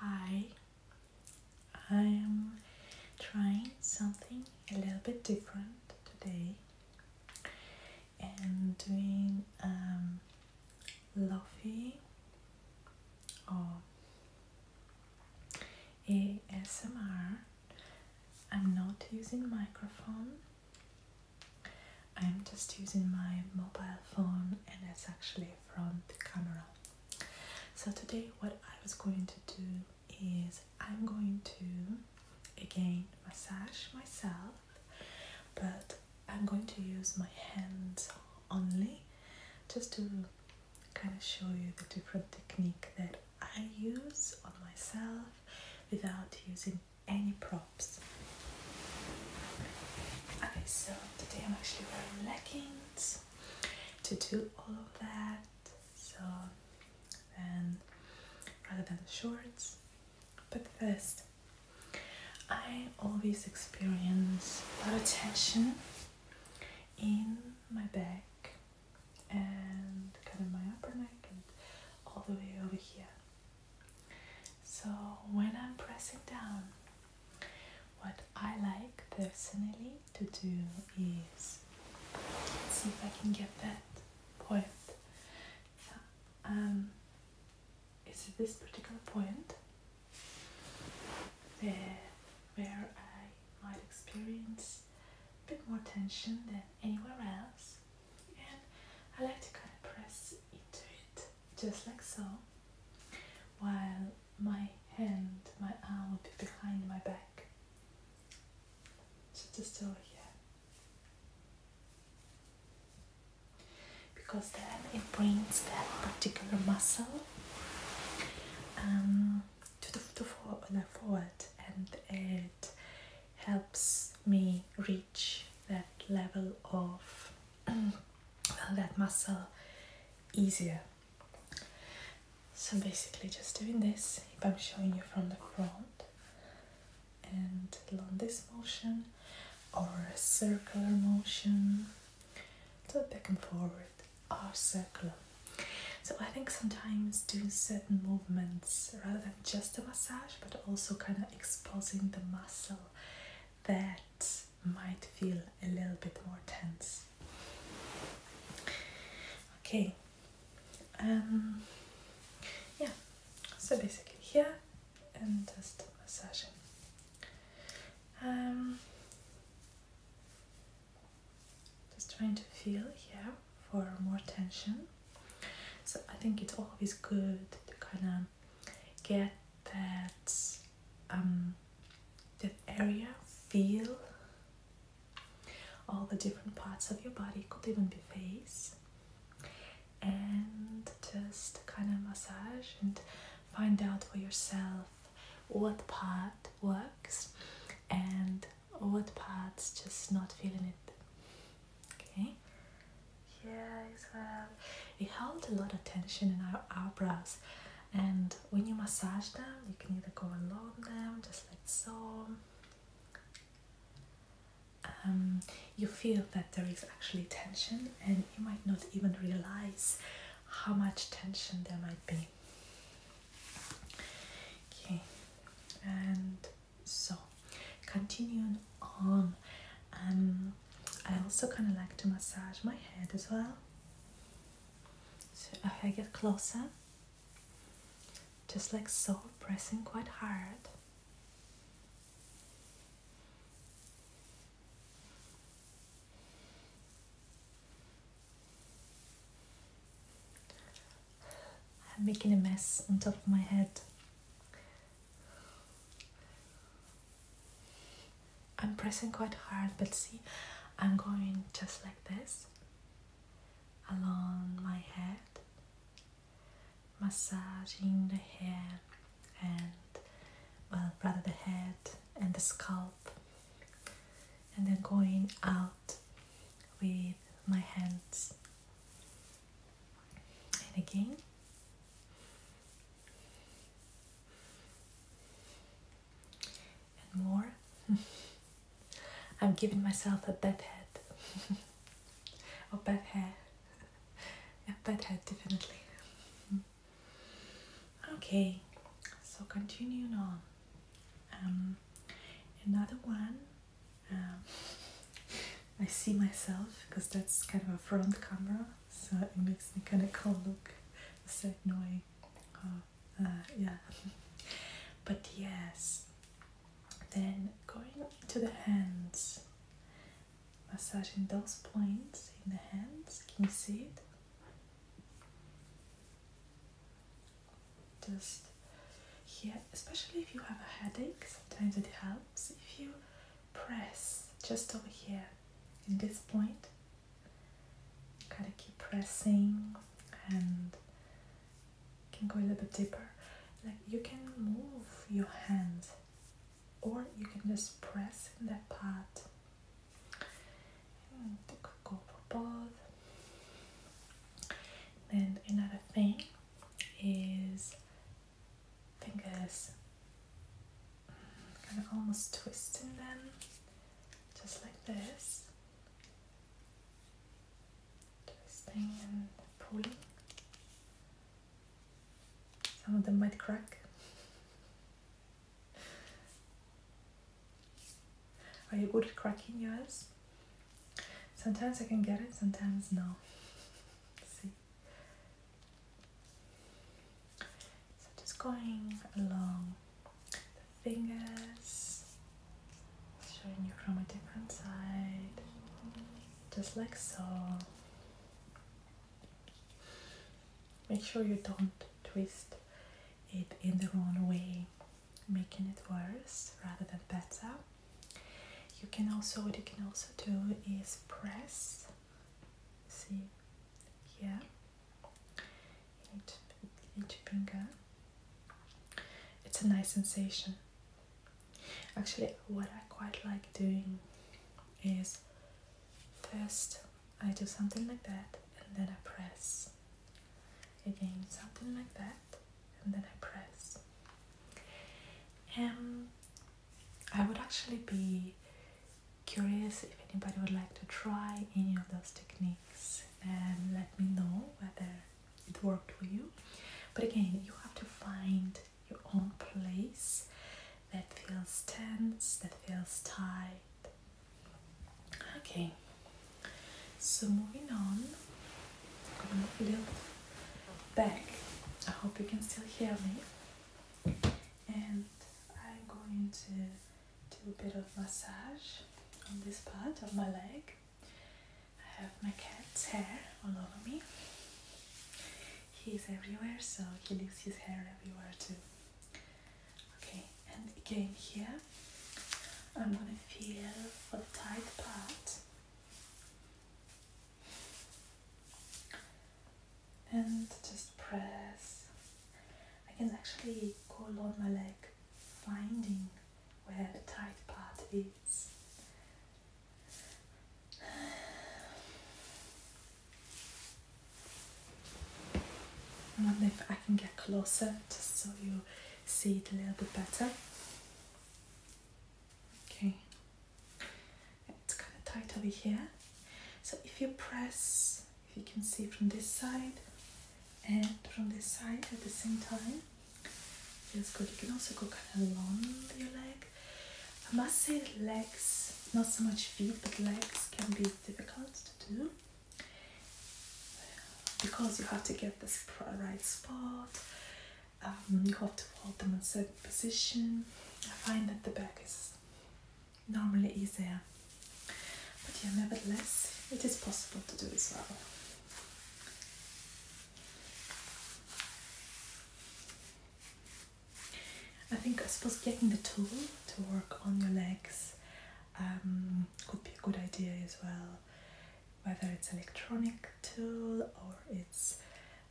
Hi, I am trying something a little bit different today and doing um, Lofi or ASMR. I'm not using microphone. I'm just using my mobile phone and it's actually front camera. So today what I was going to do is I'm going to again massage myself but I'm going to use my hands only just to kind of show you the different technique that I use on myself without using any product Okay, so today I'm actually wearing leggings to do all of that. So then, rather than shorts, but first, I always experience a lot of tension in my back and kind of my upper neck and all the way over here. So when I'm pressing down, what I like personally to do is see if I can get that point. Yeah. Um, it's this particular point there where I might experience a bit more tension than anywhere else, and I like to kind of press into it just like so, while my hand, my arm will be behind my back. So just over here. Because then it brings that particular muscle um, to the, to for, the forward and it helps me reach that level of that muscle easier. So basically just doing this, if I'm showing you from the front and along this motion or a circular motion, so back and forward or circular. So I think sometimes doing certain movements rather than just a massage but also kind of exposing the muscle that might feel a little bit more tense. Okay, um, yeah, so basically here and just massaging. Um, just trying to feel here for more tension. So I think it's always good to kind of get that um, that area feel all the different parts of your body could even be face and just kind of massage and find out for yourself what part works and what parts just not feeling it Okay. Yeah, as well. It holds a lot of tension in our eyebrows, and when you massage them, you can either go along them, just like so. Um, you feel that there is actually tension, and you might not even realize how much tension there might be. Okay, and so continuing on um i also kind of like to massage my head as well so if i get closer just like so pressing quite hard I'm making a mess on top of my head I'm pressing quite hard, but see, I'm going just like this along my head, massaging the head, and, well, rather the head and the scalp, and then going out with my hands and again. And more. I'm giving myself a bad head. a bad hair. a bad head, definitely. okay, so continuing on. Um, another one um, I see myself because that's kind of a front camera, so it makes me kind of cool look a certain way. Uh, uh, yeah, but yes, then going to the hands, massaging those points in the hands. Can you see it? Just yeah, especially if you have a headache, sometimes it helps if you press just over here in this point. Gotta keep pressing and can go a little bit deeper. Like you can move your hand or you can just press in that part. go for both. And another thing is fingers kind of almost twisting them just like this twisting and pulling some of them might crack are you good at cracking yours sometimes i can get it sometimes no so just going along the fingers, showing you from a different side, just like so. Make sure you don't twist it in the wrong way, making it worse rather than better. You can also what you can also do is press. See yeah, each, each finger. It's a nice sensation. Actually, what I quite like doing is first I do something like that and then I press again something like that and then I press. Um, I would actually be curious if anybody would like to try any of those techniques and let me know whether it worked for you. But again, you have to find your own place that feels tense, that feels tight. Okay, so moving on, I'm a little back. I hope you can still hear me. And I'm going to do a bit of massage on this part of my leg. I have my cat's hair all over me. He's everywhere, so he leaves his hair everywhere too. Okay, and again here, I'm gonna feel for the tight part and just press. I can actually go along my leg, finding where the tight part is. I wonder if I can get closer just so you see it a little bit better. Okay, it's kind of tight over here. So if you press, if you can see from this side and from this side at the same time, feels good. You can also go kind of along your leg. I must say legs, not so much feet, but legs can be difficult to do because you have to get this right spot um, you have to hold them in a certain position. I find that the back is normally easier, but nevertheless, it is possible to do as well. I think I suppose getting the tool to work on your legs um, could be a good idea as well whether it's electronic tool or it's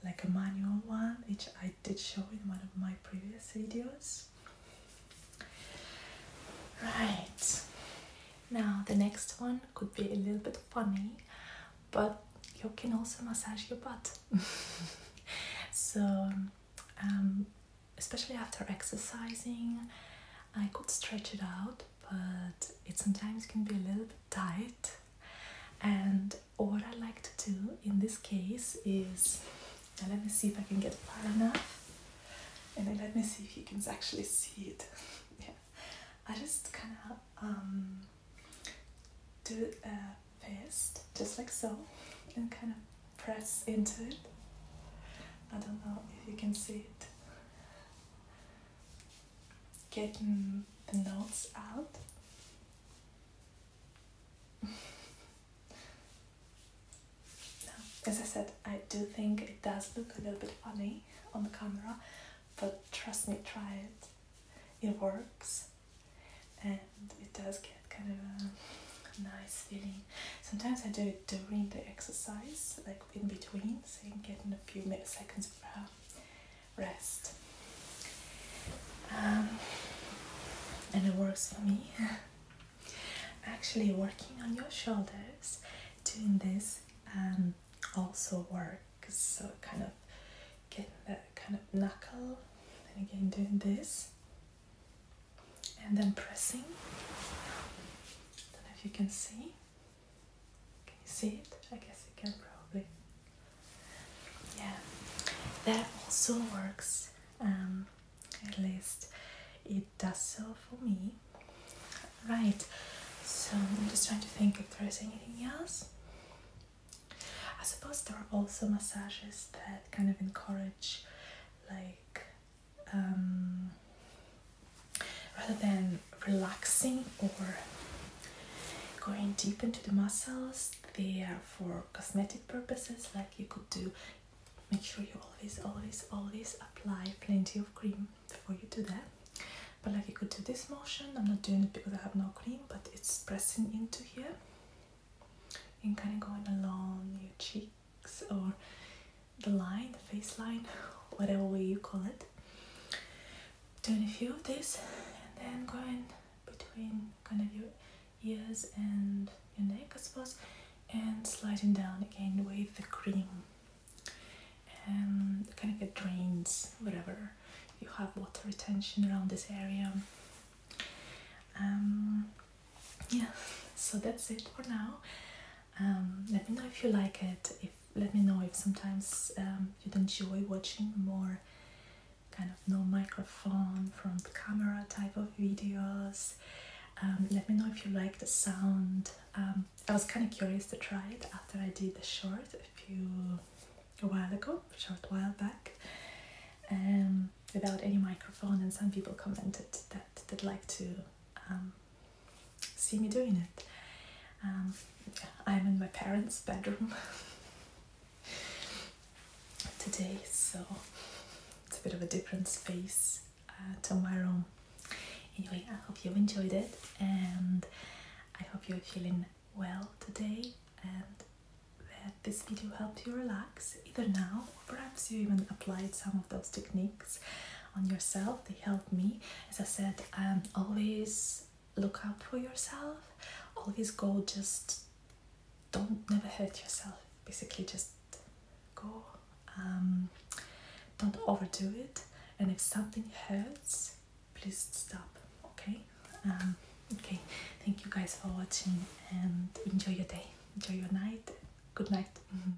like a manual one which I did show in one of my previous videos right now the next one could be a little bit funny but you can also massage your butt so um, especially after exercising I could stretch it out but it sometimes can be a little bit tight. And what I like to do in this case is let me see if I can get far enough. And then let me see if you can actually see it. yeah, I just kind of um, do a fist just like so and kind of press into it. I don't know if you can see it getting the notes out. as I said, I do think it does look a little bit funny on the camera, but trust me, try it. It works and it does get kind of a nice feeling. Sometimes I do it during the exercise, like in between, so you can get in a few seconds of uh, rest. Um, and it works for me. Actually, working on your shoulders, doing this um, also works. So kind of getting that kind of knuckle, and again doing this, and then pressing. don't know if you can see. Can you see it? I guess you can probably. Yeah, that also works. Um, at least it does so for me. Right, so I'm just trying to think if there is anything else. I suppose there are also massages that kind of encourage like um, rather than relaxing or going deep into the muscles, there for cosmetic purposes. Like you could do, make sure you always, always, always apply plenty of cream before you do that. But like you could do this motion, I'm not doing it because I have no cream, but it's pressing into here and kind of going along your cheeks or the line, the face line, whatever way you call it. Doing a few of these, and then going between kind of your ears and your neck, I suppose, and sliding down again with the cream. And um, kind of get drains whatever you have water retention around this area. Um, yeah, so that's it for now. Um, let me know if you like it. If let me know if sometimes um, you'd enjoy watching more kind of no microphone front camera type of videos. Um, let me know if you like the sound. Um, I was kind of curious to try it after I did the short a few a while ago, short while back, um, without any microphone, and some people commented that they'd like to um, see me doing it. Um, I'm in my parents' bedroom today, so it's a bit of a different space uh, Tomorrow, Anyway, I hope you enjoyed it and I hope you're feeling well today and that this video helped you relax either now or perhaps you even applied some of those techniques on yourself they help me as i said um, always look out for yourself always go just don't never hurt yourself basically just go um, don't overdo it and if something hurts please stop okay um, okay thank you guys for watching and enjoy your day enjoy your night good night mm-hmm.